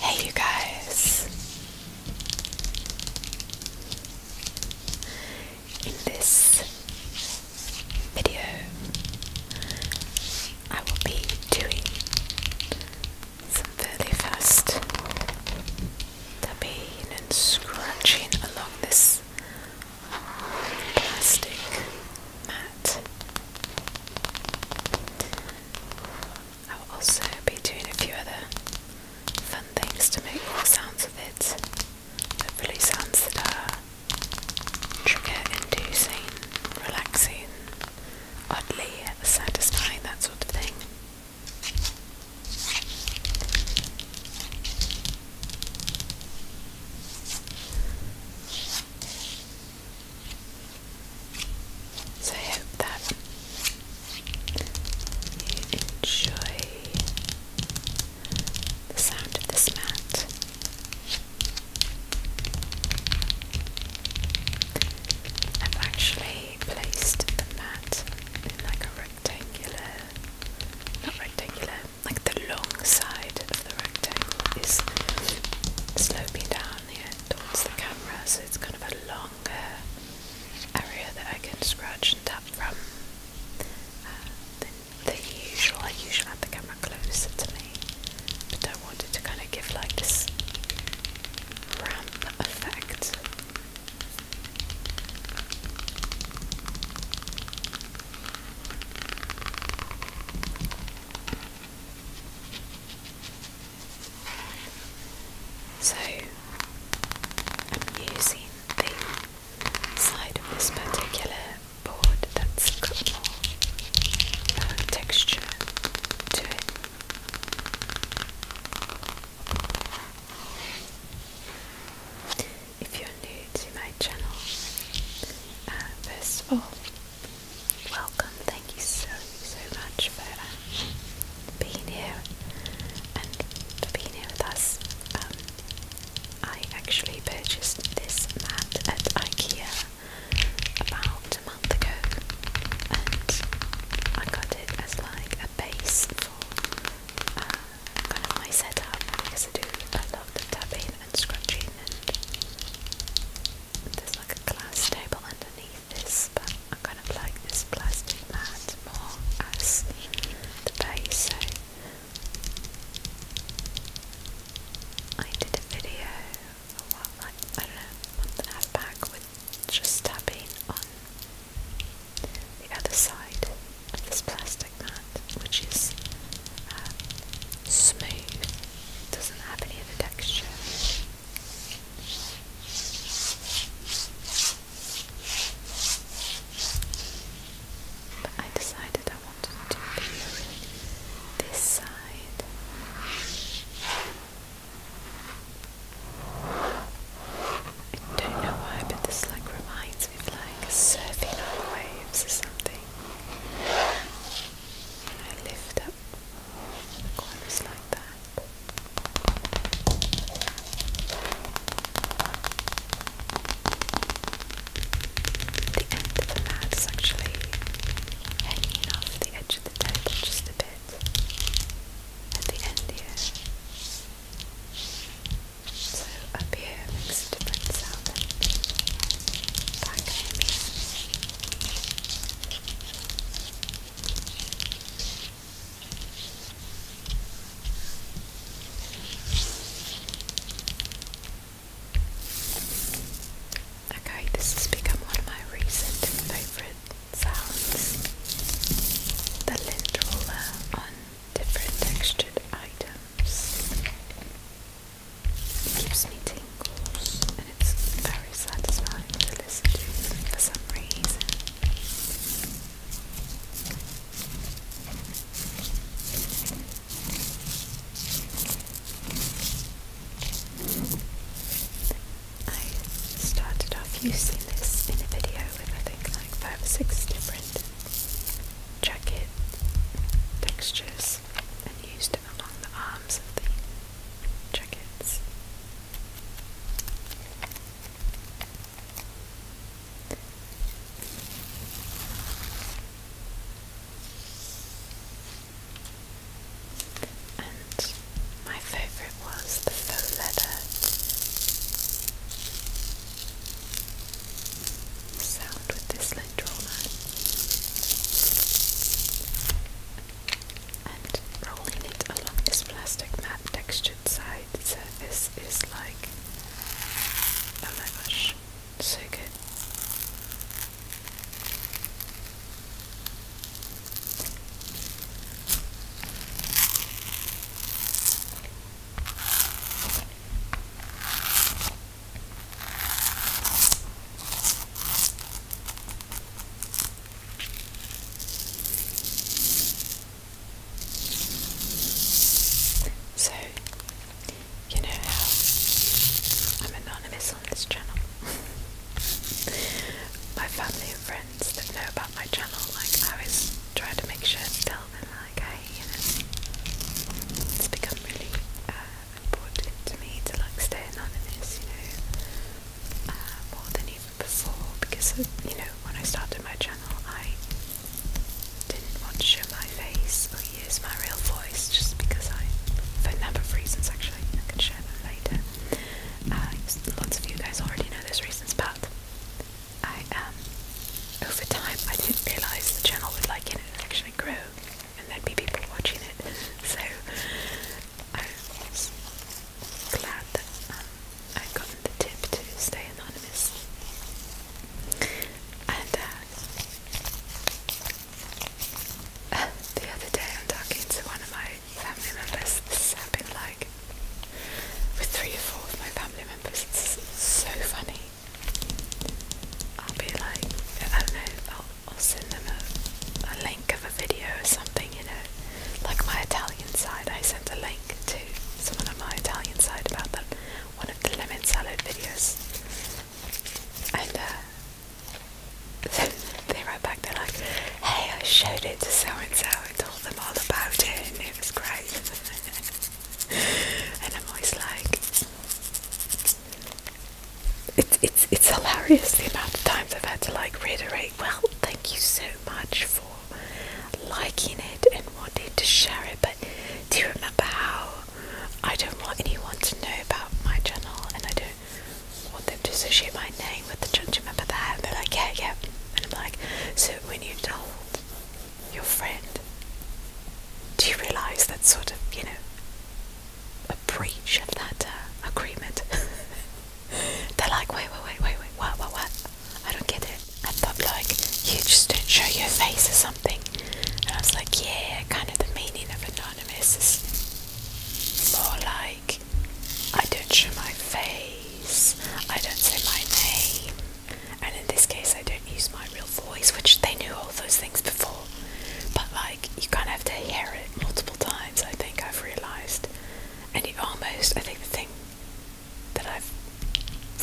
Hey, you guys! In this video, I will be doing some fairly fast tapping and scratching along this plastic mat. I'll also be doing a few other fun things to make more sounds of it. Hopefully sounds that are trigger inducing, relaxing, oddly satisfying, that sort of thing. So I that you enjoy the sound of this mat. I've actually placed the mat in like a rectangular, not rectangular, like the long side of the rectangle is sloping down here towards the camera, so it's kind of a longer area that I can scratch and tap from uh, the usual. I usually have the camera closer to me, but I wanted to kind of give like this ramp effect. So I'm using the side of this particular board that's got more texture to it if you're new to my channel, uh, first of all, welcome. Thank you so, so much for um, being here and for being here with us. Um, I actually purchased this mat at IKEA about a month ago and I got it as like a base for. Um, kind of my setup because I do a lot of tapping and scratching and there's like a glass table underneath this but I kind of like this plastic mat more as the base so I did a video a while like I don't know, month and a half back with just tapping on the other side of this plastic mat, which is uh, smooth, doesn't have any other texture. But I decided I wanted to do this side. I don't know why, but this like reminds it's like surfing on waves or something. I lift up corners like that. The end of the mat is actually hanging off the edge of the table just a bit. At the end here. So up here makes a different sound Okay, this has become one of my recent favourite sounds. The lint roller on different textured items. It gives me tingles and it's very satisfying to listen to for some reason. I started off using this in a video I think five six different jacket textures and used it along the arms of the jackets. And my favourite it was, the faux leather. Sound with this lint roller. And rolling it along this plastic matte textured side surface is like, oh my gosh, so, you know how I'm anonymous on this channel. My family and friends that know about my channel, like I was trying to make sure to tell them like, hey, you know, it's become really uh, important to me to like stay anonymous, you know, uh, more than even before because, you know, when I started my channel, I didn't want to show my face or use my real voice just because I, for a number of reasons actually, I can share them later. Uh, lots of you guys already know those reasons, but I um over time I didn't realise the channel would like it and actually grow and there'd be people watching it. So I was glad that um, I'd gotten the tip to stay anonymous. And uh, the other day I'm talking to one of my family members. This has like with three or four of my family members. so funny. I'll be like, I don't know, I'll, send them a, link of a video or something, you know. Like my Italian side, I sent a link to someone on my Italian side about that one of the lemon salad videos. And uh, they write back, they're like, hey, I showed it to so and so, I told them all about it, and it was great. and I'm always like, it's it's it's hilarious the amount of times I've had to like reiterate. Well, thank you so much for liking it and wanting to share it, but do you remember how I don't want anyone to know about my channel and I don't want them associate my name with the church. Remember that? they're like, yeah, yeah. And I'm like, so when you told your friend, do you realise that's sort of, you know, a breach of that uh, agreement? they're like, wait, wait, wait, wait, wait, what, what, what? I don't get it. I thought like you just don't show your face or something. And I was like, yeah, kind of the meaning of anonymous is more like I don't show my face, I don't say my name, and in this case, I don't use my real voice, which they knew all those things before, but like you kind of have to hear it multiple times. I think I've realized, and it almost, I think the thing that I've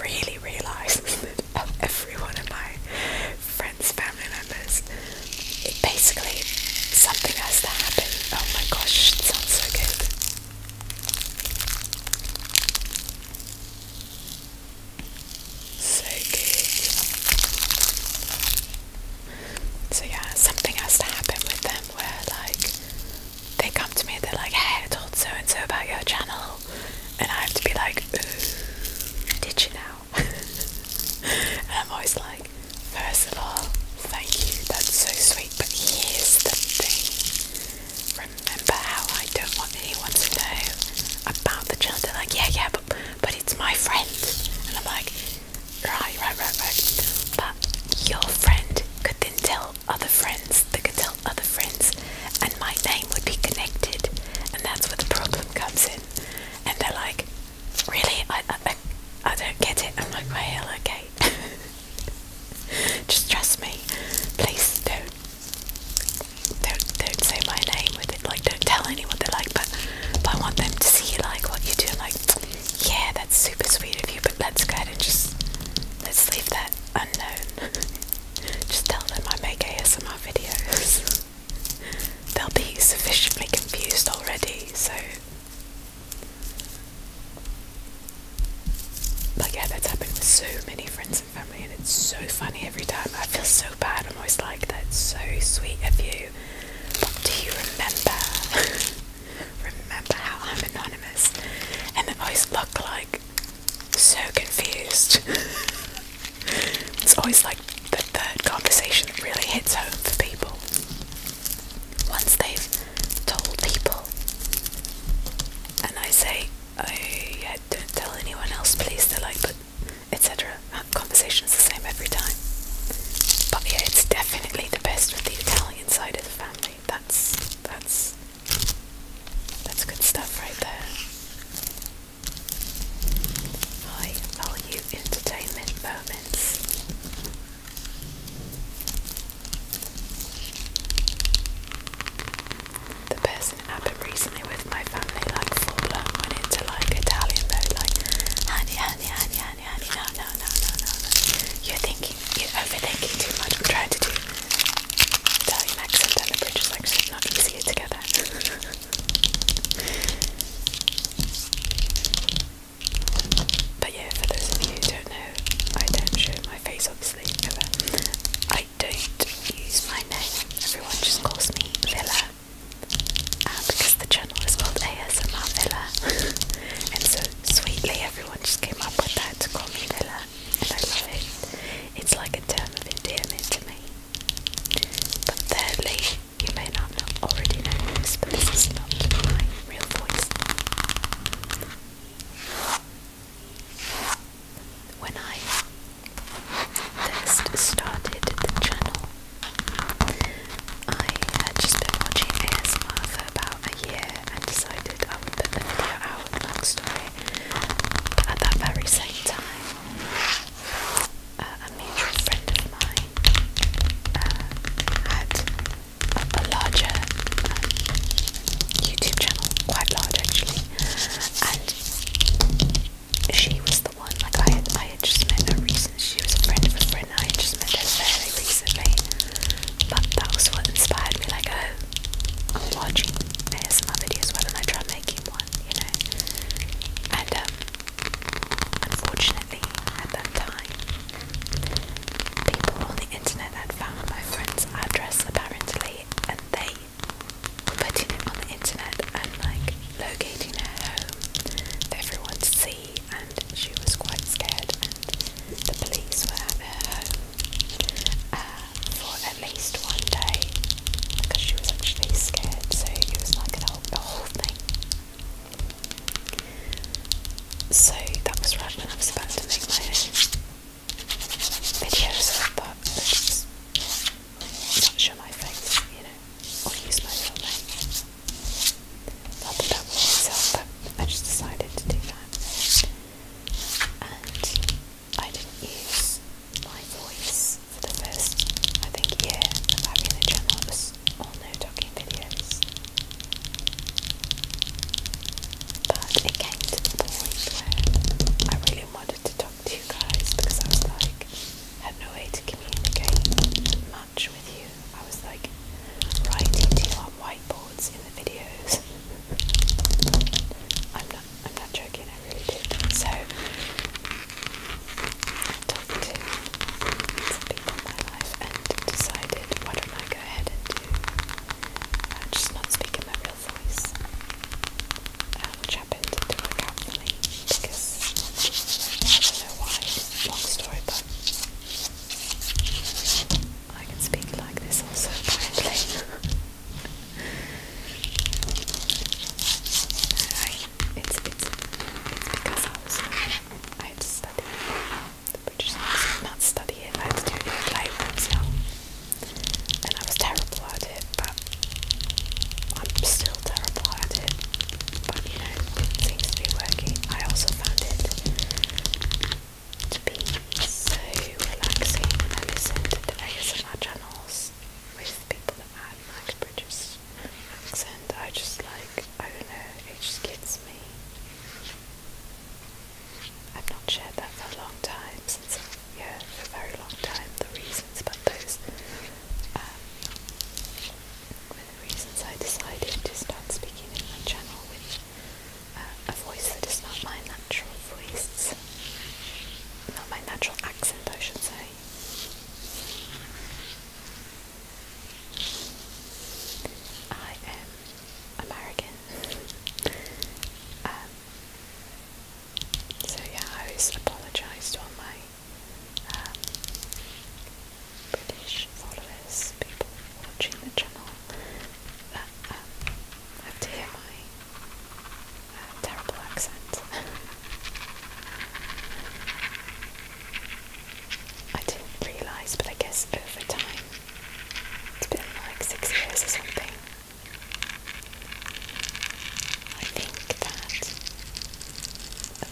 really realized is that of every one of my friends, family members, it basically something has to happen. Oh my gosh, it sounds so good. So good. So yeah, something has to happen with them where like they come to me and they're like, hey, I told so and so about your channel and I have to be like, did you now? and I'm always like, First of all, thank you, that's so sweet. But here's the thing remember how I don't want anyone to know about the child? They're like, yeah, yeah, but, but it's my friend. And I'm like, right, right, right, right. But your friend could then tell other friends that could tell other friends, and my name would be connected. And that's where the problem comes in. And they're like, really, I, I, I don't get it. I'm like, well, okay. Just trust me. Please don't, don't, don't say my name with it. Like, don't tell anyone they like, but, but I want them to see you like what you do. like, yeah, that's super sweet of you, but let's go ahead and just, let's leave that unknown. Just tell them I make ASMR videos. They'll be sufficiently confused already, so but yeah, that's happened with so many friends and family, and it's so funny every time. I feel so bad. I'm always like, that's so sweet of you. But do you remember? remember how I'm anonymous? And they always look like so confused. it's always like the third conversation that really hits home for people. Once they've told people, and I say, oh yeah, don't tell anyone else, please, they're like, but etc. That conversation's the same every time. But yeah, it's definitely the best with the Italian side of the family. That's that's that's good stuff right there. High value entertainment moment. The person it happened recently with my family, like full into like Italian mode, like honey, honey, honey, honey, honey, no, no, no, no, no, You're thinking, you're overthinking too much. I'm trying to do Italian accent and the British accent, not easier together. But yeah, for those of you who don't know, I don't show my face obviously I don't use my name. Everyone just calls me Villa. Uh, because the channel is called ASMR Villa. and so sweetly everyone just came up with that to call me Villa. And I love it. It's like a term of endearment to me. But thirdly, you may not know, already know this, but this is not my real voice. When I first started the channel, I had just been watching ASMR for about a year and decided I would put the video long story. But at that very same time, uh, a mutual friend of mine uh, had a, larger uh, YouTube channel, quite large actually, and she was the one. Like I had, I had just met her recently. She was a friend of a friend. I had just met her fairly recently, but that was what inspired me. Like, oh, I'm watching ASMR of Why videos, whether I try making one? you know. And um, unfortunately, at that time, people on the internet had found my friend's address apparently, and they were putting it on the internet and like locating her home for everyone to see. And she was quite scared, and the police were at her home. Uh, for at least one day because she was actually scared so it was like a whole, a so that was rad, and I was about to make my own videos of that, but not show my face, you know, or use my real name. i that myself, but I just decided to do that. And I didn't use my voice for the first, I think, year of having the channel. was all no talking videos. But it came to the point where I really wanted to talk to you guys because I was like, had no way to communicate much with you. I was like writing to you on whiteboards in the videos. I'm not I'm not joking, so, I talked to some people in my life and decided why don't I go ahead and do uh, just not speak in my real voice, uh, which happened to work out for me because I don't know why. Long story, but I can speak like this also apparently. Alright, It's because I was I had to study the British not study it, I had to do it in the playroom, and I was terrible at it, but I'm still terrible at it. But you know, it seems to be working. I also found it to be so relaxing and I listen to the ASMR channels with people and like British accent. I just like, I don't know, it just gets me. I've not shared that for a long time, since, yeah, for a very long time, the reasons, but those are um, the reasons I decided to start speaking in my channel with uh, a voice that is not my natural voice, not my natural accent, I should say. I am American. Um, so yeah, I always apologise to all my um, British followers, people watching the channel that um, have to terrible accent. I didn't realise, but I guess over time, it's been like six years or something. I think that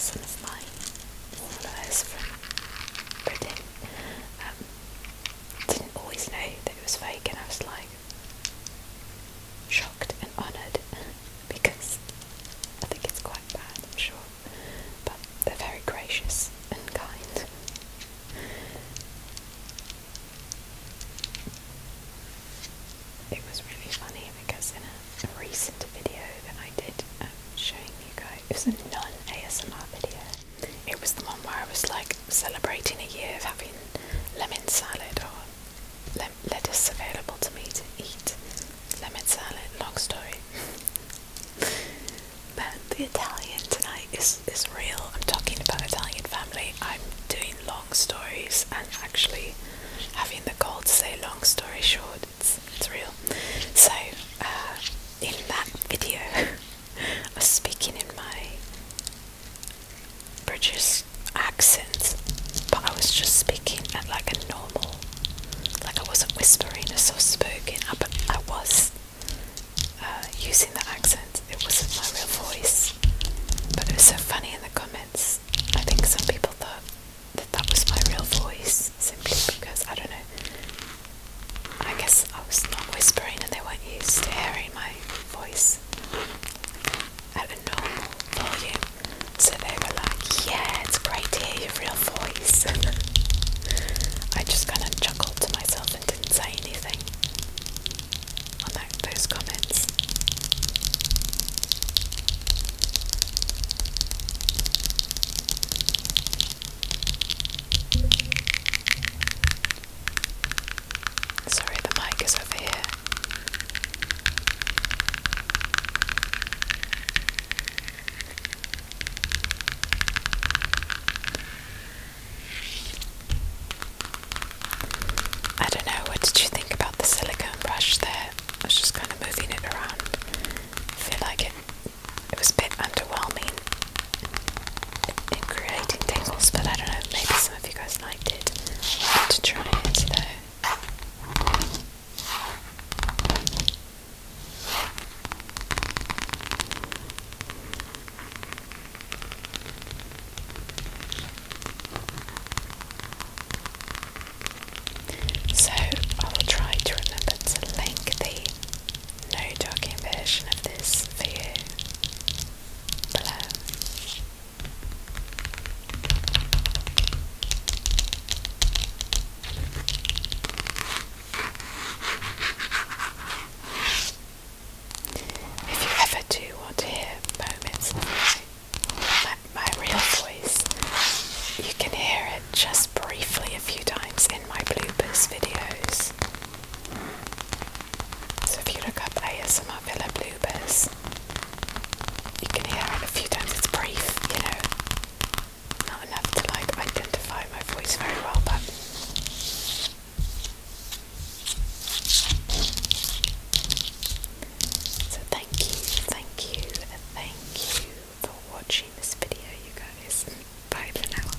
some my followers from Britain um, didn't always know that it was fake, and I was like, shocked and honoured because I think it's quite bad, I'm sure, but they're very gracious and kind. It was really funny because in a, recent video that I did um, showing you guys, it was a non ASMR video. It was the one where I was like celebrating a year of having lemon salad or lettuce available to me to eat, lemon salad, long story. but the Italian tonight is, is real. I'm talking about Italian family. I'm doing long stories and actually having the goal to say long story short. It's, it's real. So, uh, in that video, I was speaking in my British accent, but I was just speaking at like a normal, like I wasn't whispering or so spoken, but I was uh, using the accent. It wasn't my real voice, but it was so funny in the comments. I think some people thought that that was my real voice simply because I don't know. I guess I was not whispering and they weren't used to hearing my voice at a normal volume. So they were like, yeah, it's great to hear your real voice. I just kind of chuckled to myself and didn't say anything on those comments. Sorry, the mic is over here. I don't know, what did you think about the silicone brush there? I was just kind of moving it around. I feel like it, it was a bit underwhelming in creating tangles, but I don't know, maybe I hope you guys liked it. I want to try it though. So I will try to remember to link the no docking version of this for if you ever do want to hear moments of my real voice, you can hear it just briefly a few times in my bloopers videos. So if you look up ASMR Villa Bloopers, you can hear it a few times. It's brief, you know, not enough to like identify my voice very well, but. So thank you, thank you, thank you for watching this video, you guys. Bye for now.